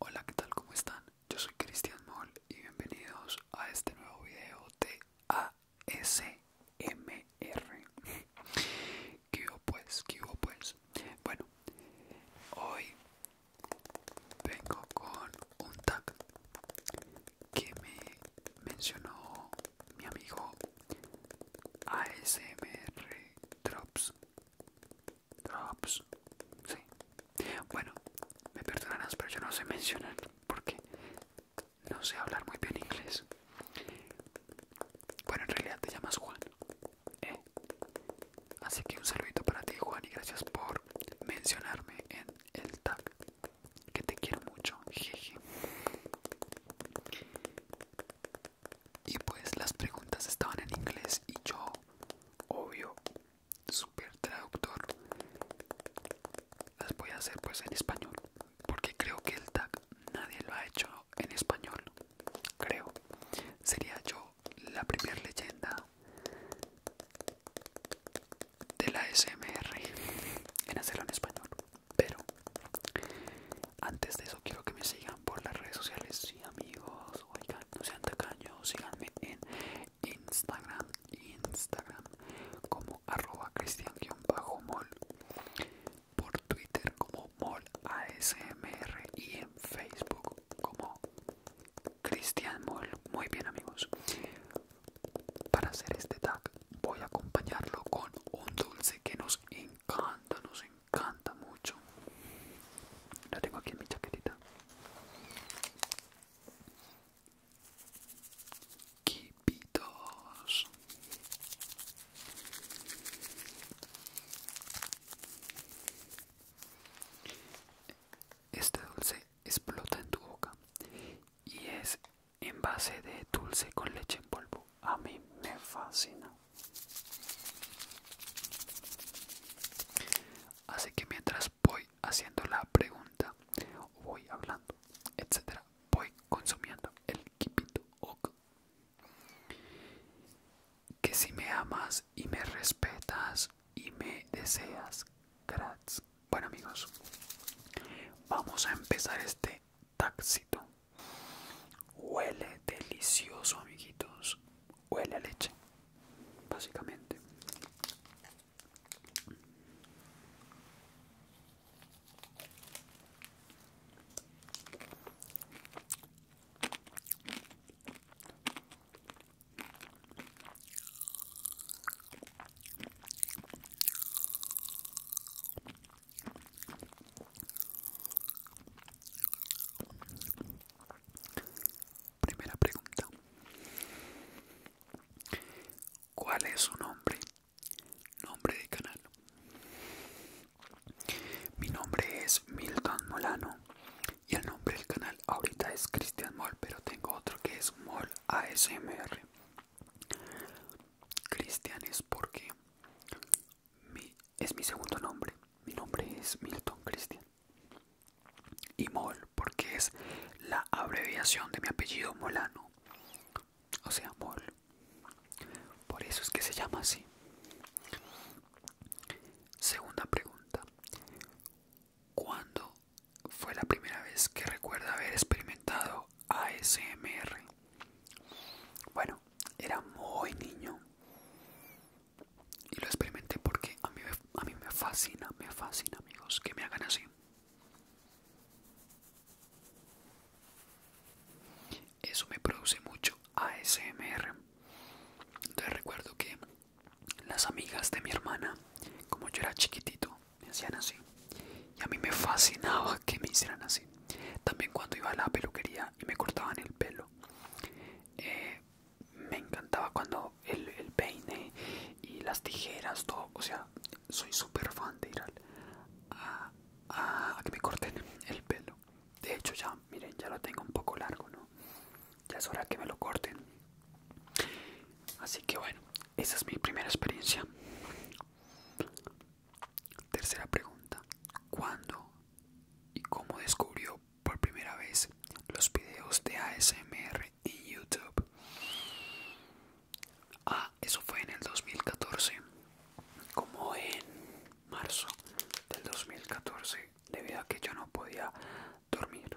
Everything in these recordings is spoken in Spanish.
Hola, ¿qué tal? ¿Cómo están? Yo soy Cristian Moll y bienvenidos a este nuevo video de ASMR. ¿Qué hubo pues? pues? Bueno, hoy vengo con un tag que me mencionó mi amigo ASMR Drops Drops. Ah, pues, sí. Bueno, me perdonarás, pero yo no sé mencionar porque no sé hablar muy bien inglés. Bueno, en realidad te llamas Juan. ¿eh? Así que un saludito para ti, Juan, y gracias por mencionarme en el tag. Que te quiero mucho, jeje y pues las preguntas estaban en inglés y yo obvio super traductor las voy a hacer pues en español porque creo que el tag nadie lo ha hecho en español creo sería yo la primera leyenda de la smr en hacerlo en español pero antes de eso quiero que me sigan por las redes sociales, sí amigos, oigan, no sean tacaños, síganme en Instagram, Instagram como arroba cristian-mol, por Twitter como molasmr y en Facebook como Cristian Muy bien amigos, para hacer este tag voy a acompañarlo con un dulce que nos encanta, nos encanta canta mucho. La tengo aquí en mi chaquetita. Kipitos. Este dulce explota en tu boca y es en base de dulce con leche en polvo a mí me fascina. Así que mientras voy haciendo la pregunta, voy hablando, etcétera, voy consumiendo el kipito ok. Que si me amas y me respetas y me deseas, gratis. Bueno amigos, vamos a empezar este Táxito. Huele delicioso, amiguitos. Huele a leche, básicamente. Primera pregunta. ¿Cuál es su nombre? Nombre de canal. Mi nombre es Milton Molano y el nombre del canal ahorita es Cristian Mol, pero tengo otro que es Mol ASMR. Cristian es porque es mi segundo nombre. Mi nombre es Milton Christian. Y Mol, porque es la abreviación de mi apellido Molano. O sea, Mol. Por eso es que se llama así. Segunda pregunta. ¿Cuándo fue la primera vez que recuerdo haber experimentado ASMR? Bueno, era muy niño. Y lo experimenté porque a mí, a mí me fascina, me fascina amigos, que me hagan así. Eso me produce mucho ASMR. Entonces recuerdo que las amigas de mi hermana, como yo era chiquitito, me hacían así. Y a mí me fascinaba que me hicieran así. También cuando iba a la peluquería y me cortaban el pelo. Eh, me encantaba cuando el, peine y las tijeras, todo. O sea, soy súper fan de ir a, a que me corten el pelo. De hecho, ya, miren, ya lo tengo un poco largo, ¿no? Ya es hora que me lo corten. Así que bueno, esa es mi primera experiencia. Tercera pregunta, ¿cuándo y cómo descubrió por primera vez los videos de ASMR en YouTube? Ah, eso fue en el 2014, como en marzo del 2014, debido a que yo no podía dormir.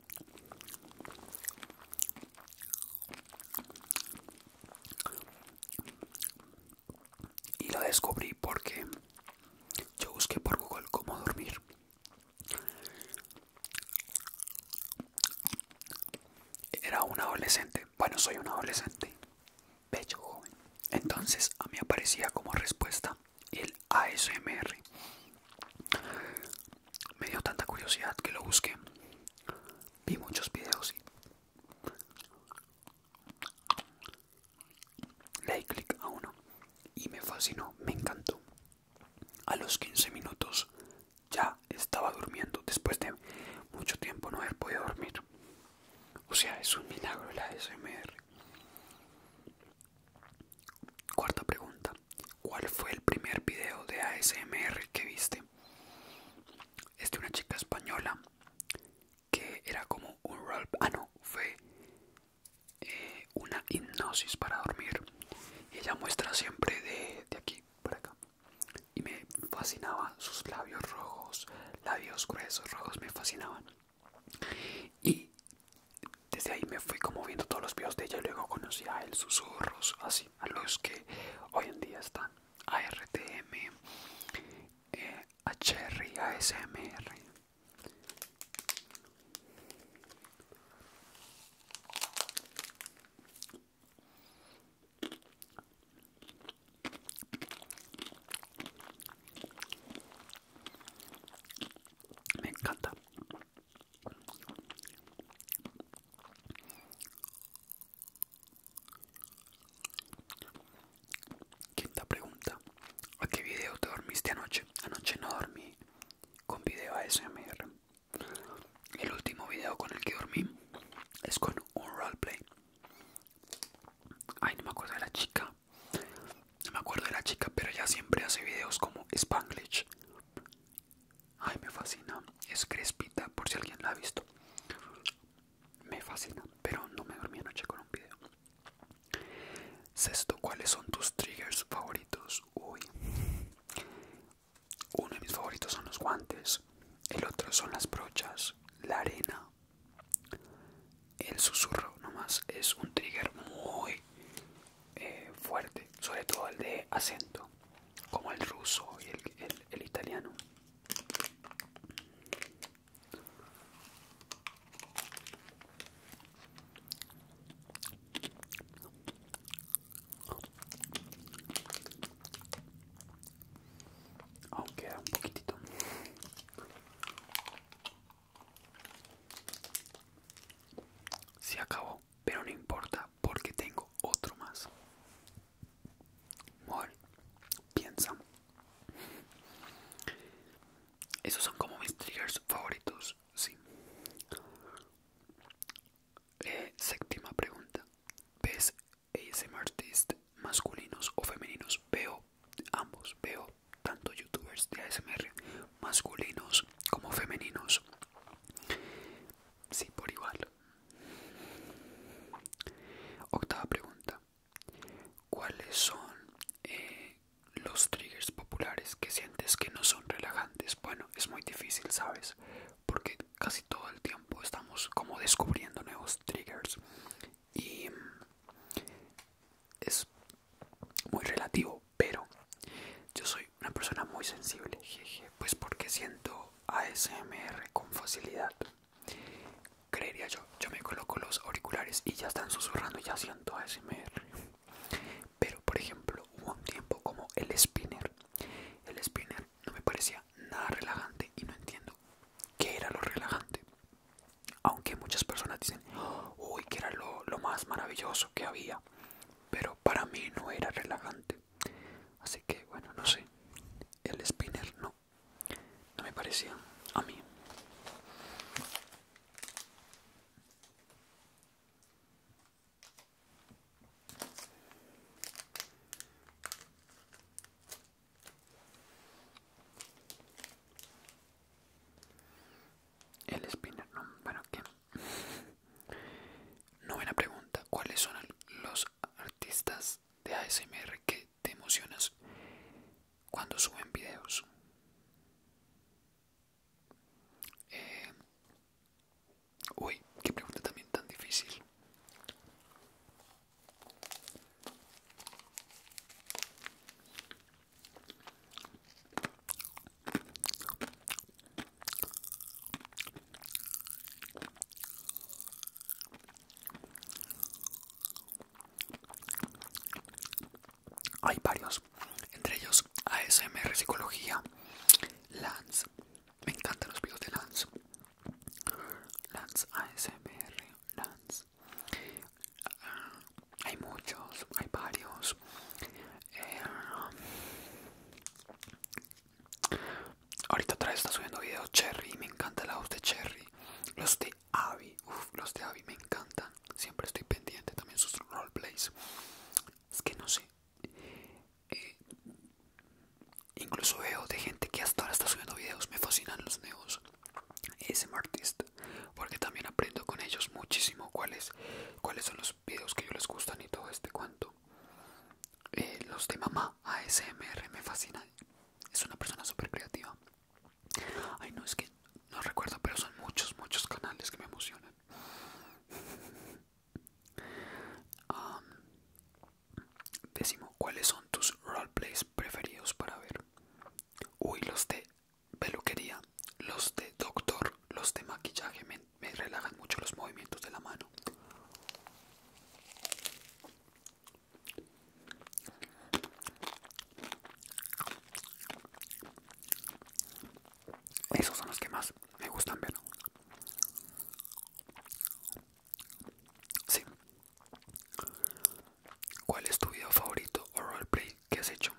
Y lo descubrí porque yo busqué por Google cómo dormir. Era un adolescente, bueno soy un adolescente, bello joven. Entonces a mí aparecía como respuesta el ASMR me dio tanta curiosidad que lo busqué. Vi muchos videos y le clic a uno y me fascinó, me encantó. A los 15 minutos ya estaba durmiendo después de mucho tiempo no haber podido dormir. O sea, es un milagro la SMR. Cuarta pregunta. ¿Cuál fue el primer video de ASMR que viste? Es de una chica española que era como un rol. Ah, no, fue eh, una hipnosis para dormir. ella muestra siempre de, aquí por acá. Y me fascinaban sus labios rojos, labios gruesos, rojos, me fascinaban. Y desde ahí me fui como viendo todos los videos de ella. luego conocí a él, susurros, así a los que hoy en día están ARTM, eh, HR, ASMR. Me encanta. Quinta pregunta. ¿A qué video te dormiste anoche? Anoche no dormí con video ASMR. El último video con el que dormí es con un roleplay. Ay, no me acuerdo de la chica. No me acuerdo de la chica, pero ella siempre hace videos como Spanglish. Ay, me fascina. Es crespita, por si alguien la ha visto. Me fascina, pero no me dormí anoche con un video. Sexto, ¿cuáles son tus triggers favoritos? Uy. Uno de mis favoritos son los guantes, el otro son las brochas, la arena, el susurro nomás. Es un trigger muy eh, fuerte, sobre todo el de acento como el ruso y el, italiano. Aunque un poquitito. Se acabó pero no importa porque tengo otro más. Bueno, piensa. Esos son como mis triggers favoritos, sí. Eh, séptima pregunta. ¿Ves ASMRtists masculinos o femeninos? Veo ambos, veo tanto youtubers de ASMR masculinos como femeninos. Sí, por igual. Octava pregunta. ¿Cuáles son eh, los triggers populares que sientes que no son relajantes? Bueno, es muy difícil, ¿sabes? Porque casi todo el tiempo estamos como descubriendo nuevos triggers. Y mm, es muy relativo, pero yo soy una persona muy sensible, jeje, pues porque siento ASMR con facilidad. Creería yo, yo me coloco los auriculares y ya están susurrando y ya siento ASMR. Pero por ejemplo, hubo un tiempo como el spinner. El spinner no me parecía nada relajante y no entiendo qué era lo relajante. Aunque muchas personas dicen, uy, que era lo, lo más maravilloso que había. Pero para mí no era relajante. Así que bueno, no sé. El spinner no. No me parecía a mí. El spinner, no, para ¿qué? Novena pregunta, ¿cuáles son los artistas de ASMR que te emocionas cuando suben videos? Eh, uy, qué pregunta también tan difícil. Hay varios, entre ellos ASMR Psicología, Lance. Me encantan los videos de Lance. Lance ASMR, Lance. Ah, hay muchos, hay varios. Eh, Ahorita otra vez está subiendo videos Cherry, me encanta la voz de Cherry, los de Avi, uff, los de Avi me encantan, siempre estoy pendiente también sus roleplays. Es que no sé, eh, incluso veo de gente que hasta ahora está subiendo videos, me fascinan los nuevos ese artist porque también aprendo con ellos muchísimo cuáles, cuáles son los videos que yo les gustan y todo este cuento. Eh, los de mamá ASMR me fascina Es una persona súper creativa. Ay, no es que no recuerdo, pero son muchos, muchos canales que me emocionan. Um, décimo, ¿cuáles son tus roleplays preferidos para ver? Uy, los de peluquería, los de doctor, los de maquillaje me relajan mucho los movimientos de la mano. Esos son los que más me gustan ver. Sí. ¿Cuál es tu video favorito o roleplay que has hecho?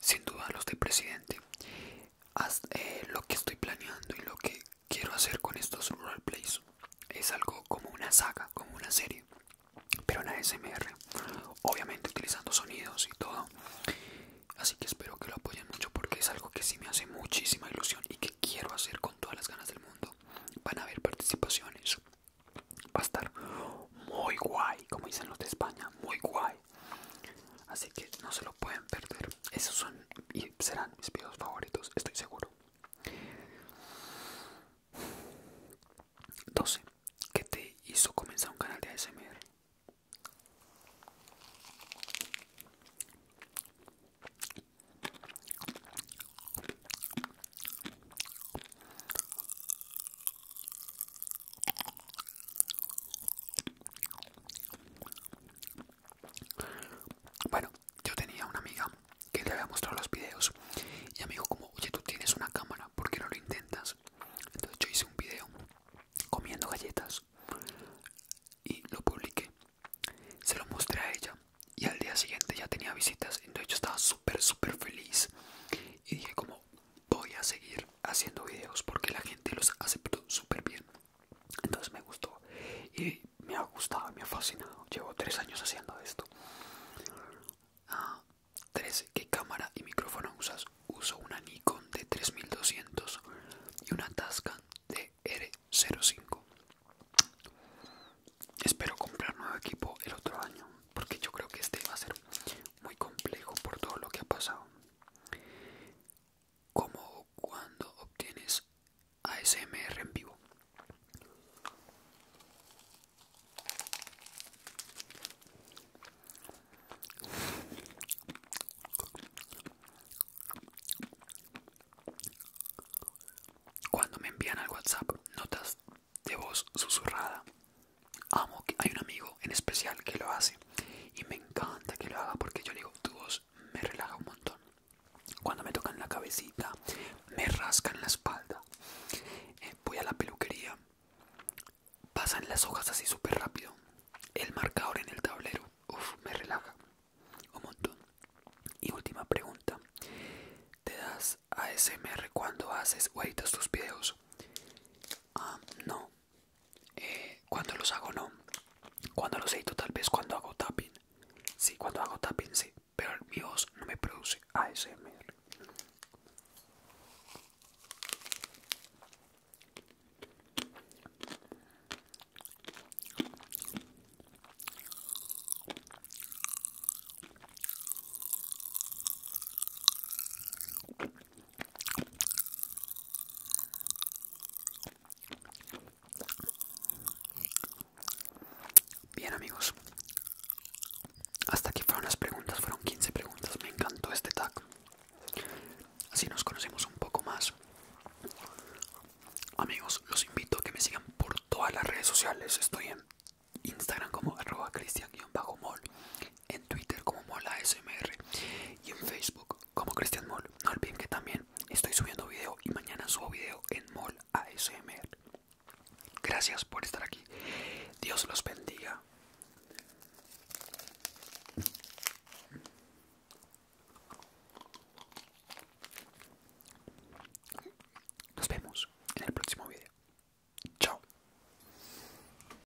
sin duda los de presidente eh, lo que estoy planeando y lo que quiero hacer con estos roleplays es algo como una saga como una serie pero en ASMR obviamente utilizando sonidos y todo así que espero que lo apoyen mucho porque es algo que sí me hace muchísima ilusión y que quiero hacer con todas las ganas del mundo van a haber participaciones va a estar muy guay como dicen los de España muy guay así que no se lo pueden perder esos son y serán mis videos favoritos estoy seguro 12 ¿Qué te hizo comenzar un canal de ASMR? Bueno, yo tenía una amiga que le había mostrado los videos y me dijo como, oye, tú tienes una cámara, ¿por qué no lo intentas? Entonces yo hice un video comiendo galletas y lo publiqué. Se lo mostré a ella y al día siguiente ya tenía visitas, entonces yo estaba súper, súper feliz y dije como, voy a seguir haciendo videos porque la gente los aceptó súper bien. Entonces me gustó y me ha gustado, me ha fascinado. Llevo 3 años haciendo esto. Ah, tres, ¿qué cámara y micrófono usas? Uso una Nikon de 3200 y una Tascam de R05. Espero comprar nuevo equipo el otro año porque yo creo que este va a ser muy complejo por todo lo que ha pasado como cuando obtienes ASMR en vivo. Cuando me envían al WhatsApp notas de voz susurrada amo que hay un amigo en especial que lo hace y me encanta que lo haga porque yo digo tu voz me relaja un montón cuando me tocan la cabecita me rascan la espalda eh, voy a la peluquería pasan las hojas así súper rápido el marcador en el tablero me relaja un montón y última pregunta te das a ASMR cuando haces o editas tus videos ah, no eh, cuando los hago no cuando los edito tal vez cuando hago tapping sí cuando hago tapping sí pero mi voz no me produce ASMR Bien amigos, hasta aquí fueron las preguntas, fueron 15 preguntas, me encantó este tag. Así nos conocemos un poco más. Amigos, los invito a que me sigan por todas las redes sociales. Estoy en Instagram como arroba cristian-mol, en Twitter como Molasmr y en Facebook como Cristian Moll. No olviden que también estoy subiendo video y mañana subo video en Molasmr. ASMR. Gracias por estar aquí. Dios los bendiga. Nos vemos en el próximo video. Chao.